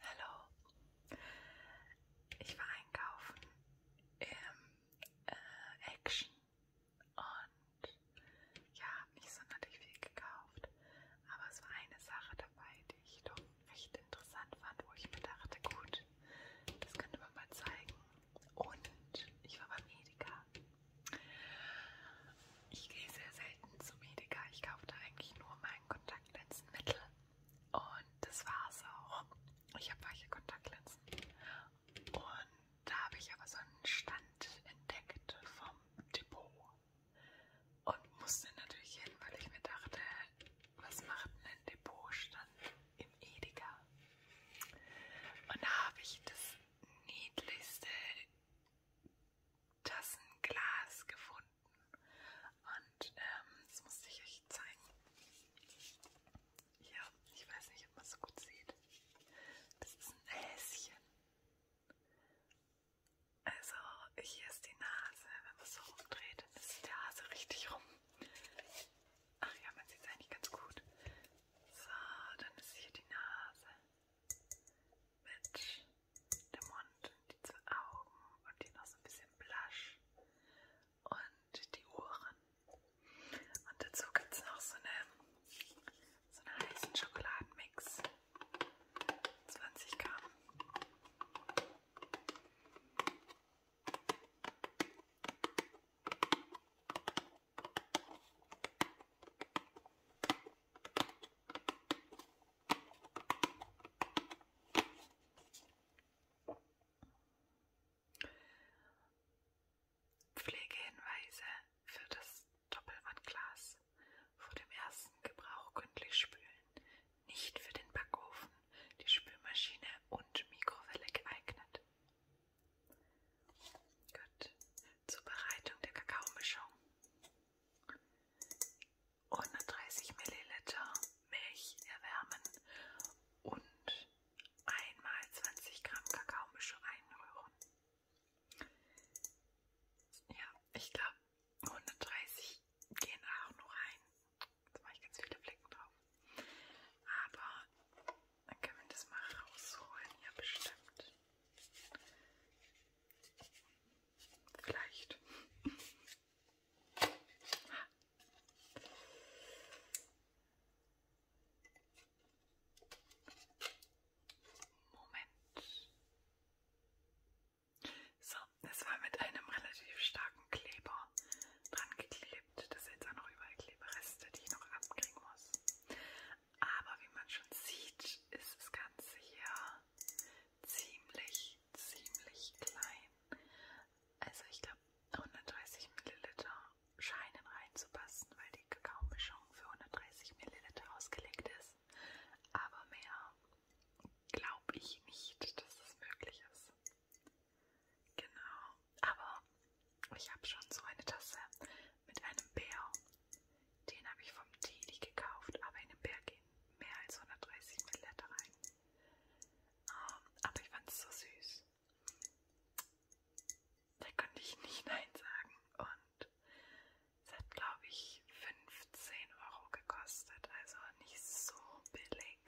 Hallo. Ich war einkaufen im äh, Action und ja, habe nicht sonderlich viel gekauft. Aber es war eine Sache dabei, die ich doch recht interessant fand, wo ich mir dachte, gut, das könnte man mal zeigen. Und ich war beim Edeka. Ich gehe sehr selten zum Edeka. Ich kaufe da eigentlich nur mal meinen Kontaktlinsenmittel und das war's auch. Ich habe weiche Kontaktlinsen und da habe ich aber so einen Stand entdeckt vom Depot und musste natürlich hin, weil ich mir dachte, was macht denn ein Depotstand im Edeka? Und da habe ich das niedlichste Tassenglas gefunden und ähm, das musste ich euch zeigen. Hier, ich weiß nicht, ob man es so gut sieht. Das ist ein Häschen. Also hier ist die Nase, wenn man es so rumdreht, dann ist der Hase richtig rum. Ach ja, man sieht es eigentlich ganz gut. So, dann ist hier die Nase mit der Mund und die zwei Augen und hier noch so ein bisschen Blush und die Ohren. Und dazu gibt es noch so eine, so einen heißen Schokoladenmix. 20 Gramm. Pflegehinweise für das Doppelwandglas. Vor dem ersten Gebrauch gründlich spülen. Nicht für den Backofen, die Spülmaschine und Mikrowelle geeignet. Gut. Zubereitung der Kakaomischung. 130 Milliliter Milch erwärmen und einmal 20 Gramm Kakaomische einrühren. Ja, ich glaube 130 gehen auch nur rein. Jetzt mache ich ganz viele Flecken drauf. Aber dann können wir das mal rausholen, ja bestimmt. Vielleicht. Moment. So, es war mit einem relativ starken Kleber dran geklebt. Das sind jetzt auch noch überall Klebereste, die ich noch abkriegen muss. Aber wie man schon sieht, ist das Ganze hier ziemlich, ziemlich klein. Also ich glaube 130 Milliliter scheinen reinzupassen, weil die Kakaomischung für 130 Milliliter ausgelegt ist. Aber mehr glaube ich nicht, dass es möglich ist. Genau. Aber ich habe schon so eine Tasse mit einem Bär. Den habe ich vom Teddy gekauft, aber in einem Bär geht mehr als 130 Milliliter rein. Um, ähm, aber ich fand es so süß. Da konnte ich nicht Nein sagen. Und es hat, glaube ich, 15 Euro gekostet. Also nicht so billig.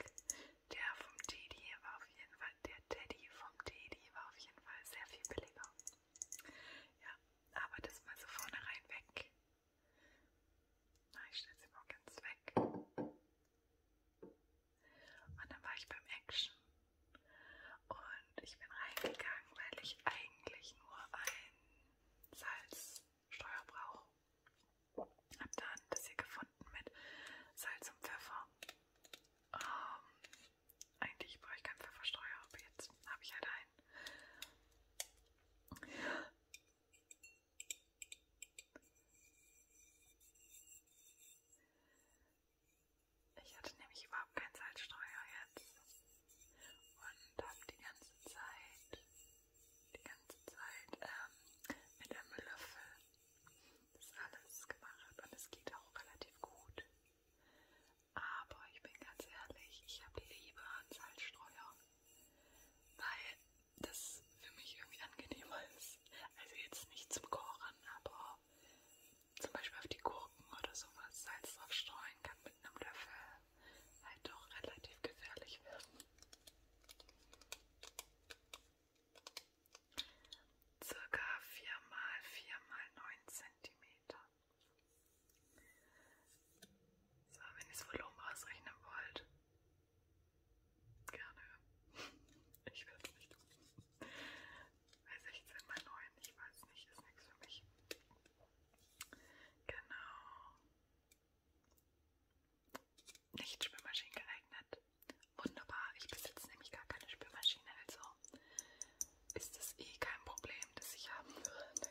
Der vom Teddy war auf jeden Fall, der Teddy vom Teddy war auf jeden Fall sehr viel billiger. Ja, aber das mal so vorne rein weg. Na, ich stelle sie mal ganz weg. Und dann war ich beim Action. Und ich bin reingegangen, weil ich eigentlich nur ein Salzsteuer brauche. Hab dann das hier gefunden mit Salz und Pfeffer. Ähm, eigentlich brauche ich keinen Pfeffersteuer, aber jetzt habe ich halt einen. Ich hatte nämlich überhaupt keinen Salzstreuer jetzt und habe die ganze Zeit, die ganze Zeit ähm, mit einem Löffel das alles gemacht und es geht auch relativ gut. Aber ich bin ganz ehrlich, ich habe lieber einen Salzstreuer weil das für mich irgendwie angenehmer ist. Also jetzt nicht zum Kochen, aber zum Beispiel auf die Gurken oder sowas Salz drauf streuen kann mit einem Löffel halt doch relativ gefährlich werden. Circa 4 x 4 x 9 cm. So, wenn ihr das Volumen ausrechnen wollt, gerne. Ich werde es nicht tun. Bei 16 mal 9, ich weiß nicht, ist nichts für mich. Genau. Nicht Spülmaschinen geeignet. Wunderbar, ich besitze nämlich gar keine Spülmaschine, also ist es eh kein Problem, das ich haben würde.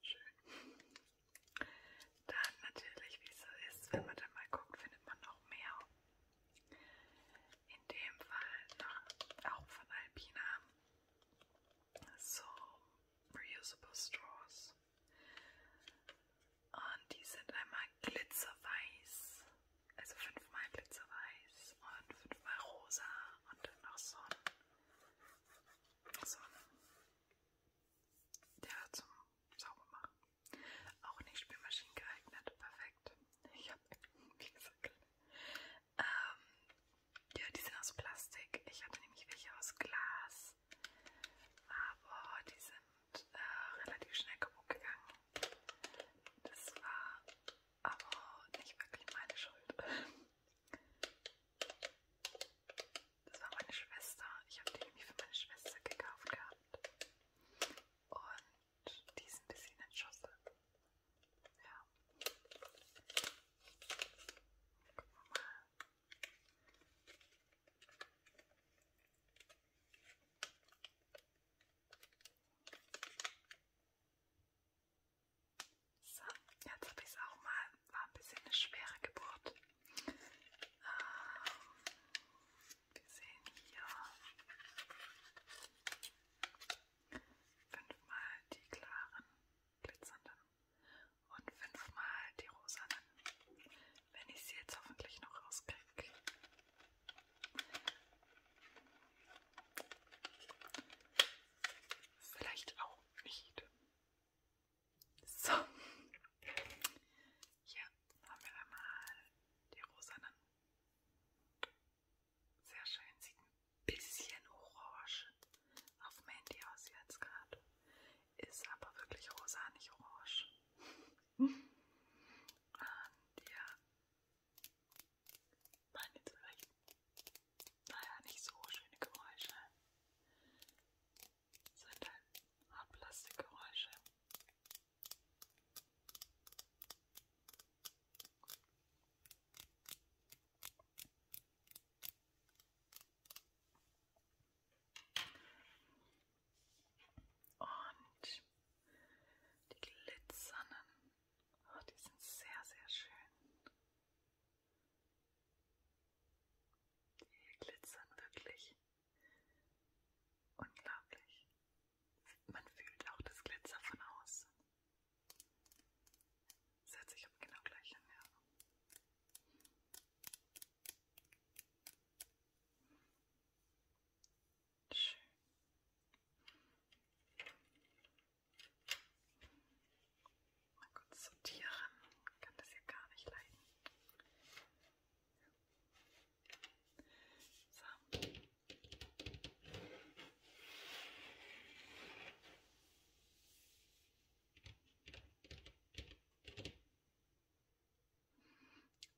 Schön. Dann natürlich, wie es so ist, wenn man dann mal guckt, findet man noch mehr. In dem Fall noch auch von Alpina. So reusable straws. Und die sind einmal glitzerweiß, also fünfmal glitzerweiß und fünfmal rosa und dann noch so ein, so ein ja, zum sauber machen. Auch nicht Spülmaschinen geeignet, perfekt. Ich habe wie gesagt. Ähm, ja, die sind aus Plastik. Ich hatte nämlich welche aus Glas. Aber die sind äh, relativ schnell kaputt gegangen. Das war aber nicht wirklich meine Schuld. Das war meine Schwester. Ich habe die nämlich für meine Schwester gekauft gehabt. Und die ist ein bisschen entschossen. Ja. Gucken wir mal. So, jetzt habe ich es auch mal war ein bisschen eine schwere Geburt. Ähm, wir sehen hier fünfmal die klaren, glitzernden und fünfmal die rosanen. Wenn ich sie jetzt hoffentlich noch rauskriege. Vielleicht auch nicht. So, hier haben wir einmal die rosanen. Sehr schön, sieht ein bisschen orange auf dem Handy aus jetzt gerade. Ist aber wirklich rosa, nicht orange. Und ja, meine vielleicht, naja, nicht so schöne Geräusche sind halt Art Plastikgeräusche. Und die glitzernden, oh, die sind sehr, sehr schön. Die glitzern wirklich Unglaublich. Man fühlt auch das Glitzer von außen. Das hört sich aber genau gleich hin, ja. Schön. Mal kurz sortieren. Ich kann das ja gar nicht leiden. So.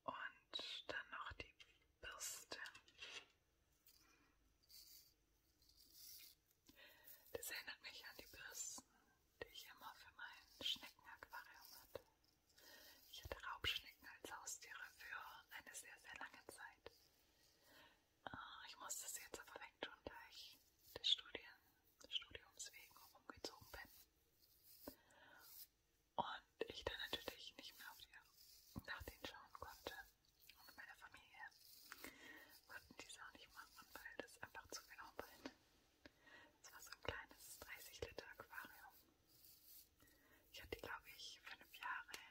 Und dann noch die Bürste. Das erinnert mich an die Bürsten die ich immer für mein Schneckenaquarium hatte. Ich hatte Raubschnecken als Haustiere für eine sehr, sehr lange Zeit. Ah, ich muss das jetzt aber wegtun, da ich des Studien, Studiums wegen umgezogen bin. Und ich dann natürlich nicht mehr auf die, nach denen schauen konnte. Und meine Familie konnten die auch nicht machen, weil das einfach zu viel Arbeit es war so ein kleines 30 Liter Aquarium. Ich hatte, glaube ich, fünf Jahre,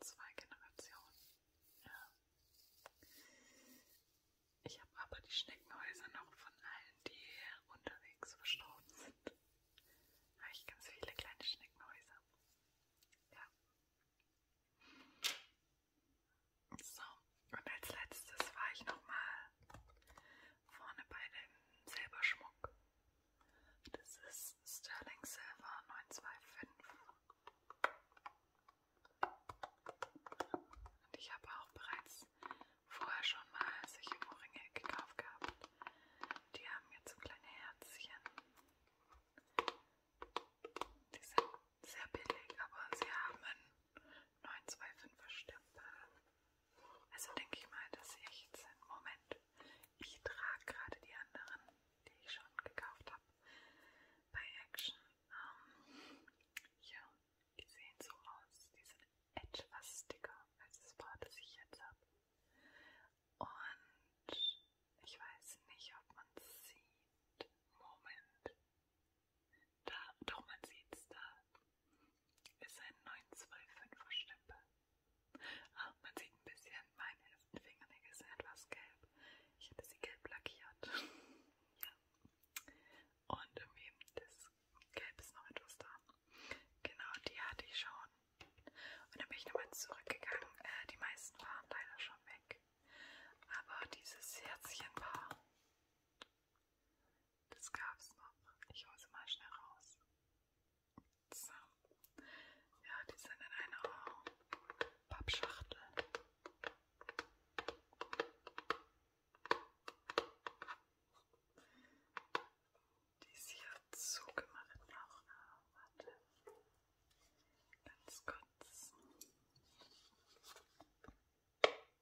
zwei Generationen. Ja. Ich habe aber die Schneckenhäuser noch von allen, die unterwegs verstorben sind. Da habe ich ganz viele kleine Schneckenhäuser. Ja. So, und als letztes war ich nochmal vorne bei dem Silberschmuck. Das ist Sterling Silver 925. Und ich habe auch bereits vorher schon mal solche Ohrringe gekauft gehabt. Die haben jetzt so kleine Herzchen. Die sind sehr billig, aber sie haben einen 925er Stempel. Also denke ich mal, dass sie echt sind. Moment, ich trage gerade die anderen, die ich schon gekauft habe, bei Action. Ähm, ja, die sehen so aus. Die sind etwas dicker als das Paar, das ich jetzt habe. Und ich weiß nicht, ob man es sieht. Moment. Da, doch man sieht's da, ist ein 925er Stempel. Ah, man sieht ein bisschen, meine Fingernägel sind etwas gelb. Ich hätte sie gelb lackiert. ja. Und irgendwie, das Gelb ist noch etwas da. Genau, die hatte ich schon. Und dann bin ich nochmal zurückgegangen. Äh, die meisten waren leider schon weg. Aber dieses Herzchenpaar, das gab's noch. Ich hole sie mal schnell raus. So. Ja, die sind in einer Pappschachtel. Die ist hier zugemacht noch. Ah, warte. Ganz kurz.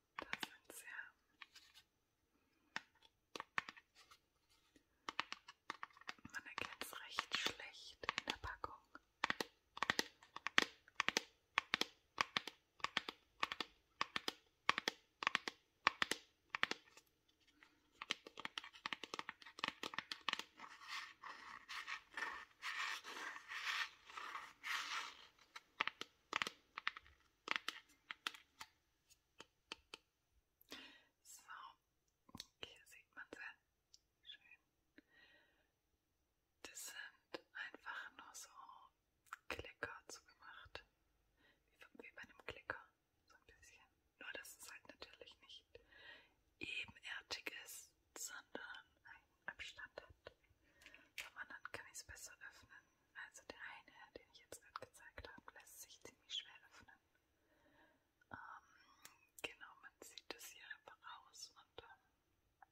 Da sind sie. Man erkennt es recht schlecht in der Packung. So, hier sieht man sie. Schön. Das sind einfach nur so Klicker zugemacht. Wie, wie bei einem Klicker. So ein bisschen. Nur, dass es halt natürlich nicht ebenartig ist, sondern ein Abstand hat. Vom anderen kann ich es besser öffnen. Also der eine, den ich jetzt gerade gezeigt habe, lässt sich ziemlich schwer öffnen. Ähm, genau, man sieht das hier einfach raus und dann ähm,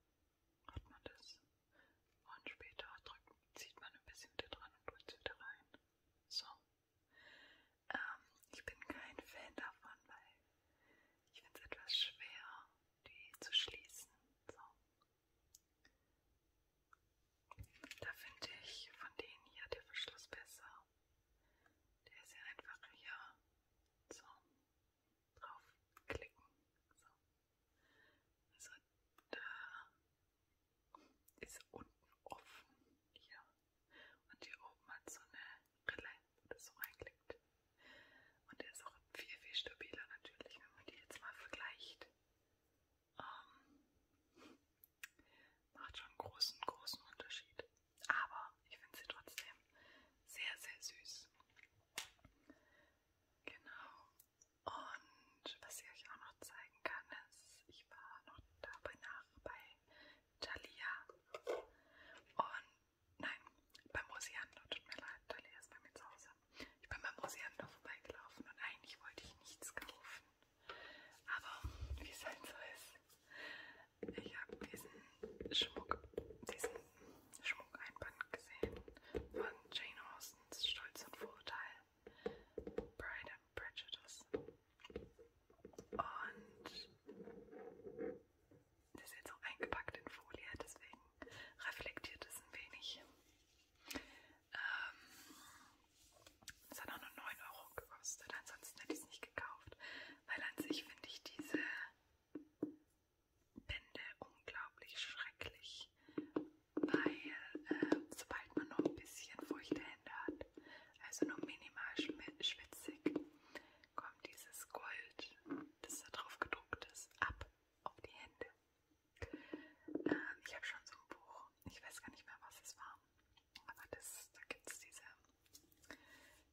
hat man das. Und später drückt, zieht man ein bisschen wieder dran und drückt es wieder rein. So. Ähm, ich bin kein Fan davon, weil ich finde es etwas schwer, die zu schließen. So. Da finde ich von denen hier der Verschluss besser. Der ist ja einfach hier so draufklicken. So. Also da ist unten offen hier. Und hier oben hat so eine Rille, wo das so reinklickt. Und der ist auch auch viel, viel stabiler natürlich, wenn man die jetzt mal vergleicht. Ähm, macht schon einen großen, großen Unterschied. Aber ich finde sie trotzdem sehr, sehr süß. Genau. Und was ich euch auch noch zeigen kann, ist, ich war noch dabei nach bei Thalia. Und nein, beim Oceano, tut mir leid, Thalia ist bei mir zu Hause. Ich bin beim Museum noch vorbeigelaufen und eigentlich wollte ich nichts kaufen. Aber wie es halt so ist, ich habe diesen Schmuck, diesen Schmuckeinband gesehen von Jane Austens Stolz und Vorurteil, Pride and Prejudice. Und das ist jetzt auch eingepackt in Folie, deswegen reflektiert es ein wenig. Ähm, es ähm, hat auch nur 9 Euro gekostet, ansonsten hätte ich es nicht gekauft, weil an sich finde ich diese Bände unglaublich schrecklich, weil äh, sobald man noch ein bisschen feuchte Hände hat, also nur minimal schwitzig, kommt dieses Gold, das da drauf gedruckt ist, ab auf die Hände. Ähm, ich habe schon so ein Buch, ich weiß gar nicht mehr, was es war, aber das, da gibt es diese,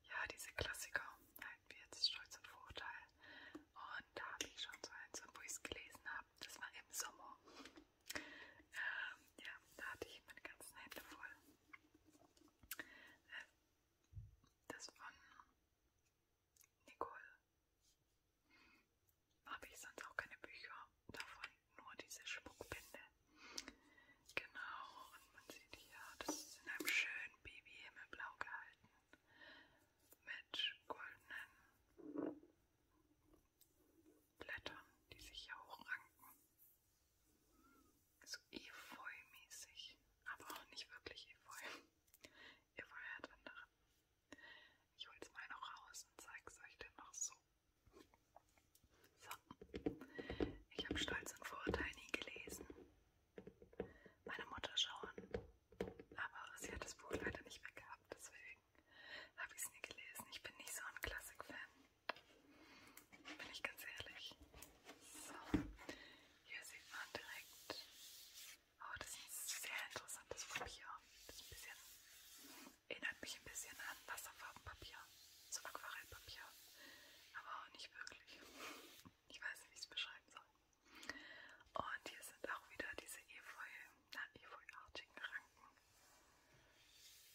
ja, diese Klassiker, halt wie jetzt Stolz und Vorurteil. Und da habe ich schon so eins, wo ich es gelesen habe, das war im Sommer. Ähm, ja, da hatte ich meine ganzen Hände voll. Äh, das von Nicole. Habe ich sonst auch keine Bücher, davon nur diese Schmuckbände. Genau, und man sieht hier, das ist in einem schönen Babyhimmelblau gehalten. Mit goldenen Blättern, die sich hier hochranken. So efeu-mäßig, aber auch nicht wirklich efeu. Efeu hat andere ich hole es mal noch raus und zeige es euch dann noch so. So, ich habe Stolz und Vorurteil nie gelesen. Meine Mutter schon, aber sie hat das Buch leider nicht mehr gehabt, deswegen habe ich es nie gelesen. Ich bin nicht so ein Klassik-Fan, bin ich ganz ehrlich. So, hier sieht man direkt Oh, das ist sehr interessantes Papier. Das ist ein bisschen, erinnert mich ein bisschen an Wasserfarbenpapier, so Aquarellpapier, aber auch nicht wirklich. Ich weiß nicht, wie ich es beschreiben soll. Und hier sind auch wieder diese Efeu, na, Efeuartigen Ranken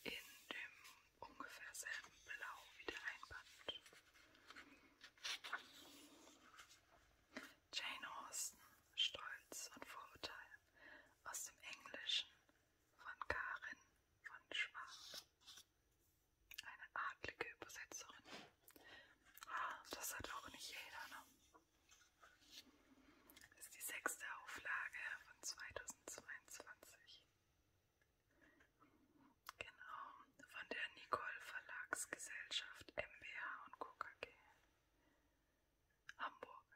in dem ungefähr selben Blau wie der Einband. Jane Austen, Stolz und Vorurteil aus dem Englischen von Karin von Schwab. Eine adlige Übersetzerin. Ah, das hat auch nicht jeder, ne? Das ist die sechste Auflage von 2022. Genau, von der Nicole Verlagsgesellschaft MBH und KKG. Hamburg.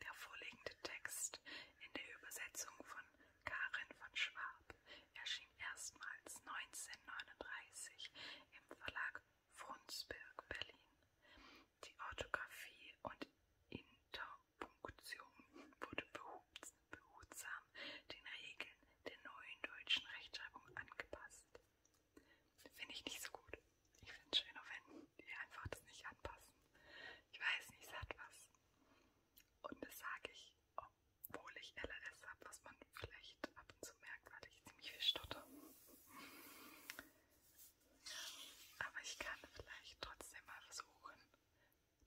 Der vorliegende Text in der Übersetzung von Karin von Schwab erschien erstmals 1939 im Verlag Frundsberg, Berlin. Die Orthographie und Interpunktion wurde behutsam den Regeln der neuen deutschen Rechtschreibung angepasst. Finde ich nicht so gut. Ich finde es schöner, wenn die einfach das nicht anpassen. Ich weiß nicht, es hat was. Und das sage ich, obwohl ich LRS habe, was man vielleicht ab und zu merkt, weil ich ziemlich viel stotter. Aber ich kann vielleicht trotzdem mal versuchen,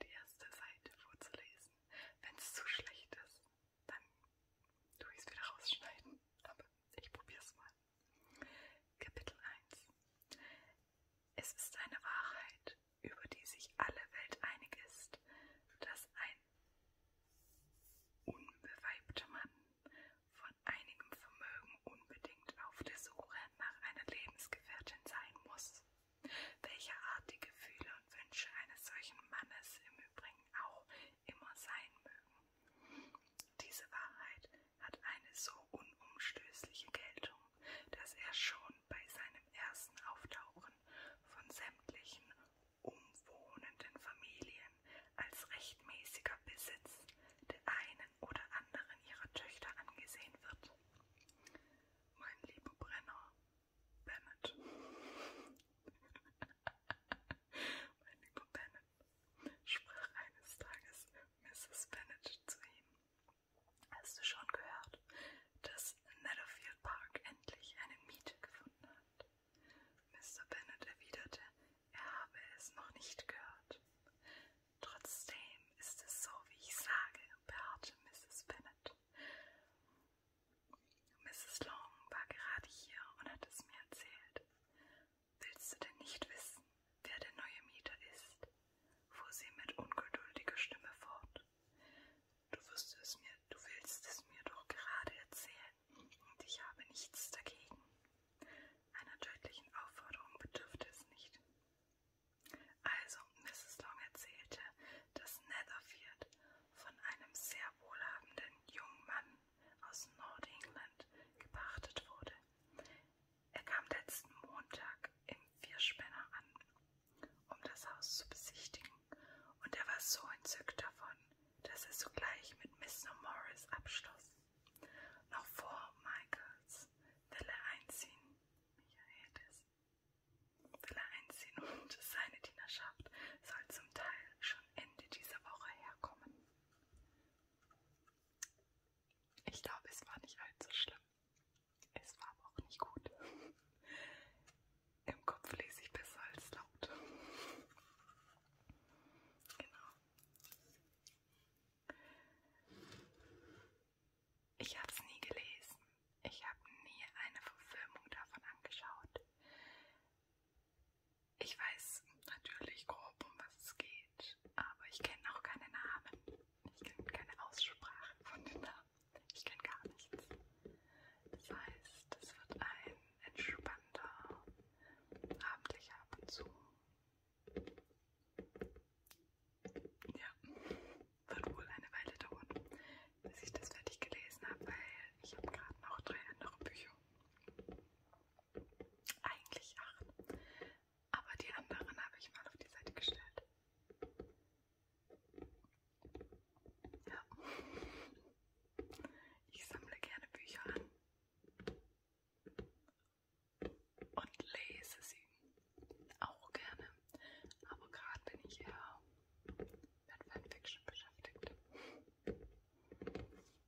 die erste Seite vorzulesen. Wenn es zu schlecht ist, dann tue ich es wieder rausschneiden. Aber ich probiere es mal. Kapitel 1 Es ist eine Wahrheit, über die sich alle Welt einig ist, dass ein unbeweibter Mann von einigem Vermögen unbedingt auf der Suche nach einer Lebensgefährtin sein muss. Welche Art die Gefühle und Wünsche eines solchen Mannes im Übrigen auch immer sein mögen. Diese Wahrheit hat eine so unumstößliche Geltung, dass er schon bei seinem ersten Auftauchen von sämtlichen umwohnenden Familien als rechtmäßiger Besitz der einen oder anderen ihrer Töchter angesehen wird. Mein lieber Brenner, Bennett. Mein lieber Bennet, sprach eines Tages Mrs. Bennet zu ihm. Hast du schon gehört, dass Netherfield Park endlich eine Miete gefunden hat? Mr. Bennet erwiderte, er habe es noch nicht gehört. Trotzdem ist es so, wie ich sage, beharrte Mrs. Bennet. Mrs. Long war gerade hier und hat es mir erzählt. Willst du denn nicht wissen, wer der neue Mieter ist? fuhr sie mit ungeduldiger Stimme fort. Du wirst es mir, du willst es mir doch gerade erzählen, und ich habe nichts dagegen. Einer deutlichen Aufforderung bedürfte es nicht. Also, Mrs. Long erzählte, dass Netherfield von einem sehr wohlhabenden jungen Mann aus Nordengland gepachtet wurde. Er kam letzten Montag im Vierspänner an, um das Haus zu besichtigen, und er war so entzückt davon, dass er sogleich mit Mr. Morris abschloss. Noch vor Michaels will er einziehen, Michaelis will er einziehen und seine Dienerschaft soll zum Teil schon Ende dieser Woche herkommen. Ich glaube, es war nicht allzu schlimm. Es war aber auch nicht gut. Im Kopf lese ich besser als laut. Genau. Ich habe es nie gelesen. Ich habe nie eine Verfilmung davon angeschaut. Ich weiß natürlich grob, um was es geht, aber ich kenne auch keine Namen. Ich kenne keine Aussprache von den Namen. Ich kenne gar nichts. Das heißt, es wird ein entspannter abendlicher Ab und zu. Ja, wird wohl eine Weile dauern, bis ich das fertig gelesen habe, weil ich habe gerade noch drei andere Bücher eigentlich acht. Aber die anderen habe ich mal auf die Seite gestellt. Ja. Ich sammle gerne Bücher an und lese sie auch gerne. Aber gerade bin ich eher mit Fanfiction beschäftigt.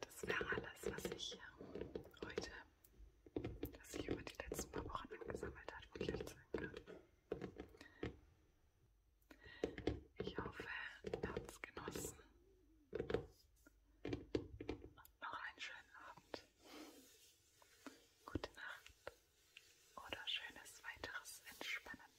Das wäre alles, was ich heute, was ich über die letzten paar Wochen angesammelt habe, wirklich zeigen kann. Ich hoffe, ihr habt es genossen und noch einen schönen Abend. Gute Nacht oder schönes weiteres Entspannen.